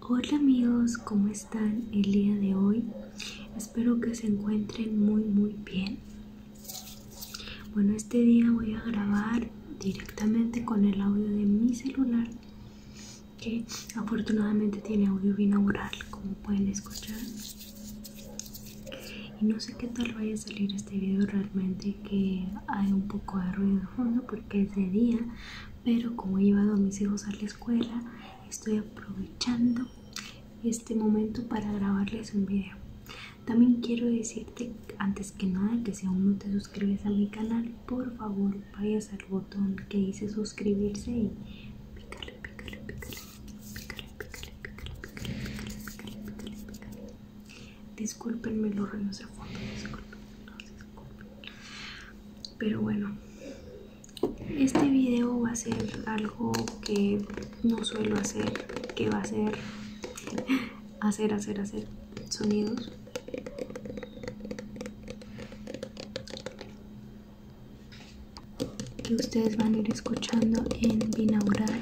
Hola amigos, ¿cómo están el día de hoy? Espero que se encuentren muy muy bien. Bueno, este día voy a grabar directamente con el audio de mi celular que afortunadamente tiene audio binaural como pueden escuchar. Y no sé qué tal vaya a salir este video realmente que hay un poco de ruido de fondo porque es de día, pero como he llevado a mis hijos a la escuela, estoy aprovechando este momento para grabarles un video. También quiero decirte antes que nada que si aún no te suscribes a mi canal, por favor vayas al botón que dice suscribirse y pícale, pícale, pícale, Disculpenme, los ruidos de fondo, disculpen. Pero bueno, este video va a ser algo que no suelo hacer, que va a ser hacer, hacer, hacer sonidos. Que ustedes van a ir escuchando en binaural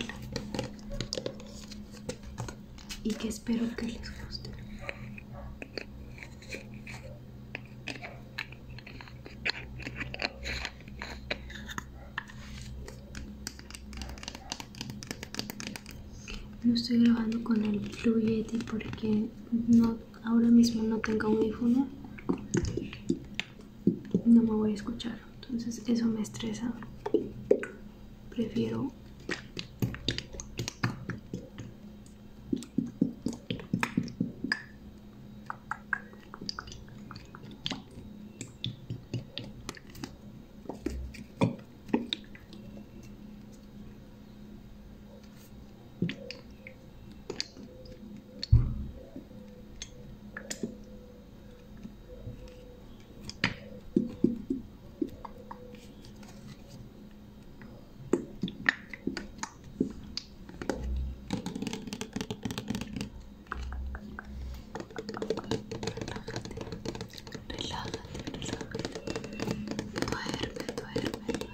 y que espero que les guste. No estoy grabando con el Blue Yeti porque no, ahora mismo no tengo y No me voy a escuchar, entonces eso me estresa prefiero Relájate, relájate. relájate Duerme, duerme,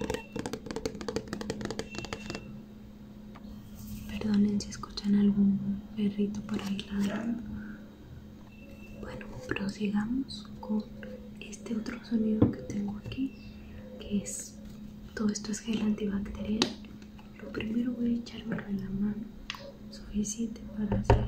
duerme. Perdonen si escuchan algún perrito por ahí lado bueno, prosigamos con este otro sonido que tengo aquí, que es todo esto es gel antibacterial. Lo primero voy a echarme en la mano, suficiente para hacer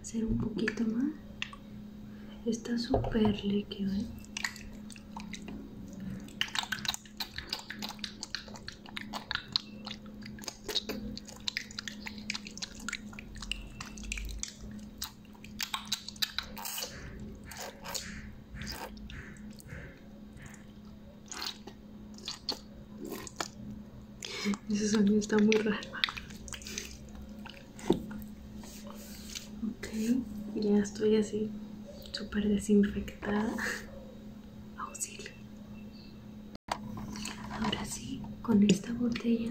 hacer un poquito más. Está súper líquido, ¿eh? Ese sonido está muy raro. Ok, ya estoy así, súper desinfectada. Auxilio. Ahora sí, con esta botella.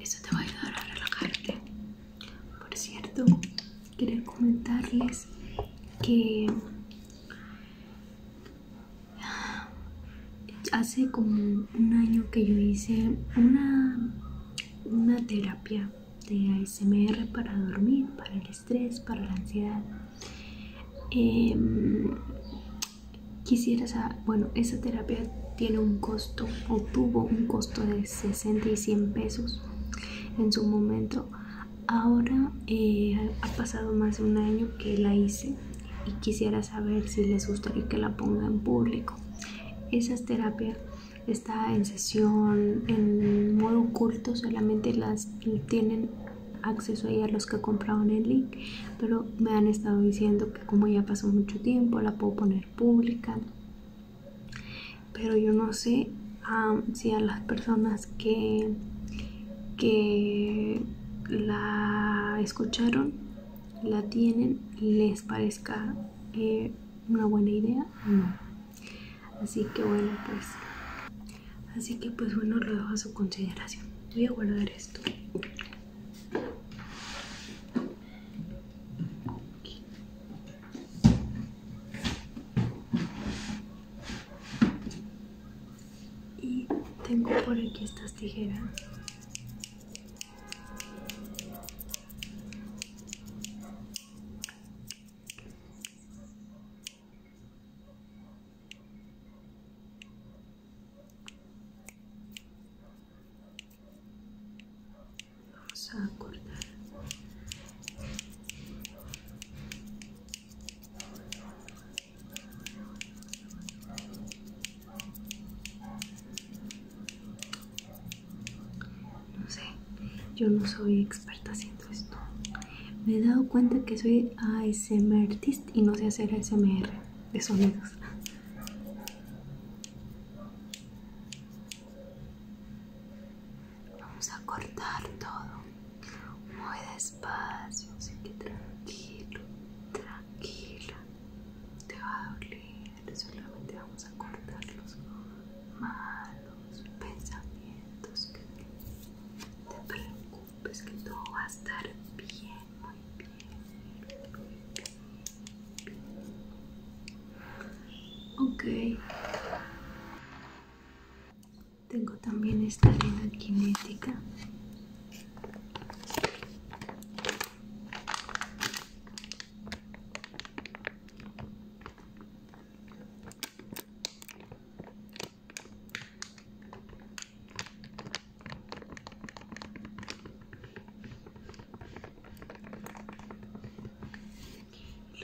Esto te va a ayudar a relajarte. Por cierto, quería comentarles que ah, hace como un año que yo hice una, una terapia de ASMR para dormir, para el estrés, para la ansiedad. Em, saber bueno, esa terapia tiene un costo o tuvo un costo de 60 y 100 pesos en su momento. Ahora eh, ha pasado más de un año que la hice y quisiera saber si les gustaría que la ponga en público. Esas terapias está en sesión, en modo oculto, solamente las tienen acceso ahí a los que compraron el link pero me han estado diciendo que como ya pasó mucho tiempo la puedo poner pública pero yo no sé si a las personas que que la escucharon la tienen les parezca eh, una buena idea o mm. no. así que bueno pues Así que pues bueno, lo dejo a su consideración. Voy a guardar esto. Y tengo por aquí estas tijeras. Vamos a cortar no sé, yo no soy experta así me he dado cuenta que soy ASMRtist y no sé hacer ASMR de sonidos. Vamos a cortar todo muy despacio, así que tranquilo, tranquila. Te va a doler, solamente vamos a cortar los malos pensamientos que te preocupes que todo va a estar bien, muy bien, Ok. Tengo también esta arena cinética.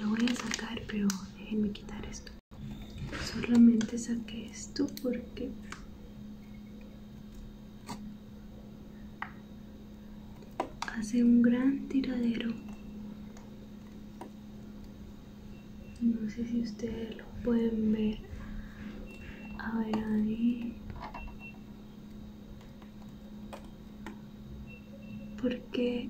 Lo voy a sacar, pero déjenme quitar esto. Solamente saqué esto porque hace un gran tiradero no sé si ustedes lo pueden ver a ver ahí porque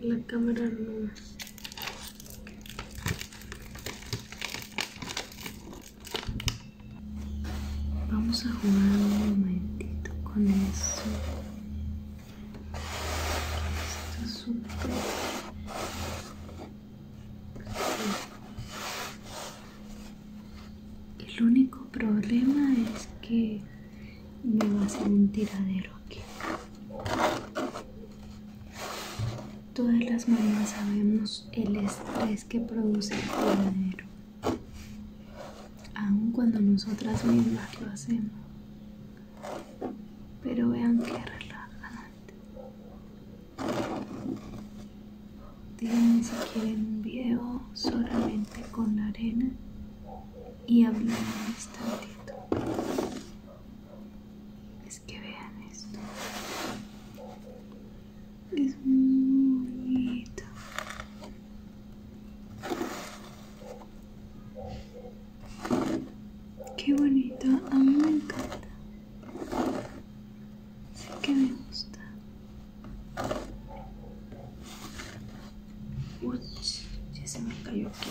la cámara no Vamos a jugar un momentito con eso Esto es súper. El único problema es que me va a hacer un tiradero aquí. Todas las mamás sabemos el estrés que produce el tiradero aun cuando nosotras mismas lo hacemos pero vean que relajante díganme si quieren un video solamente con la arena y hablar un instantito es que vean esto es muy bonito qué bonito a mí me encanta sé que me gusta uy ya se me cayó aquí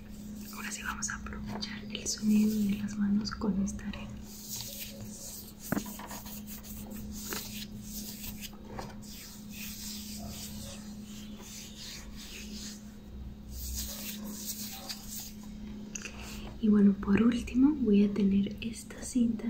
Ahora sí vamos a aprovechar el sonido de las manos con esta arena. Y bueno, por último voy a tener esta cinta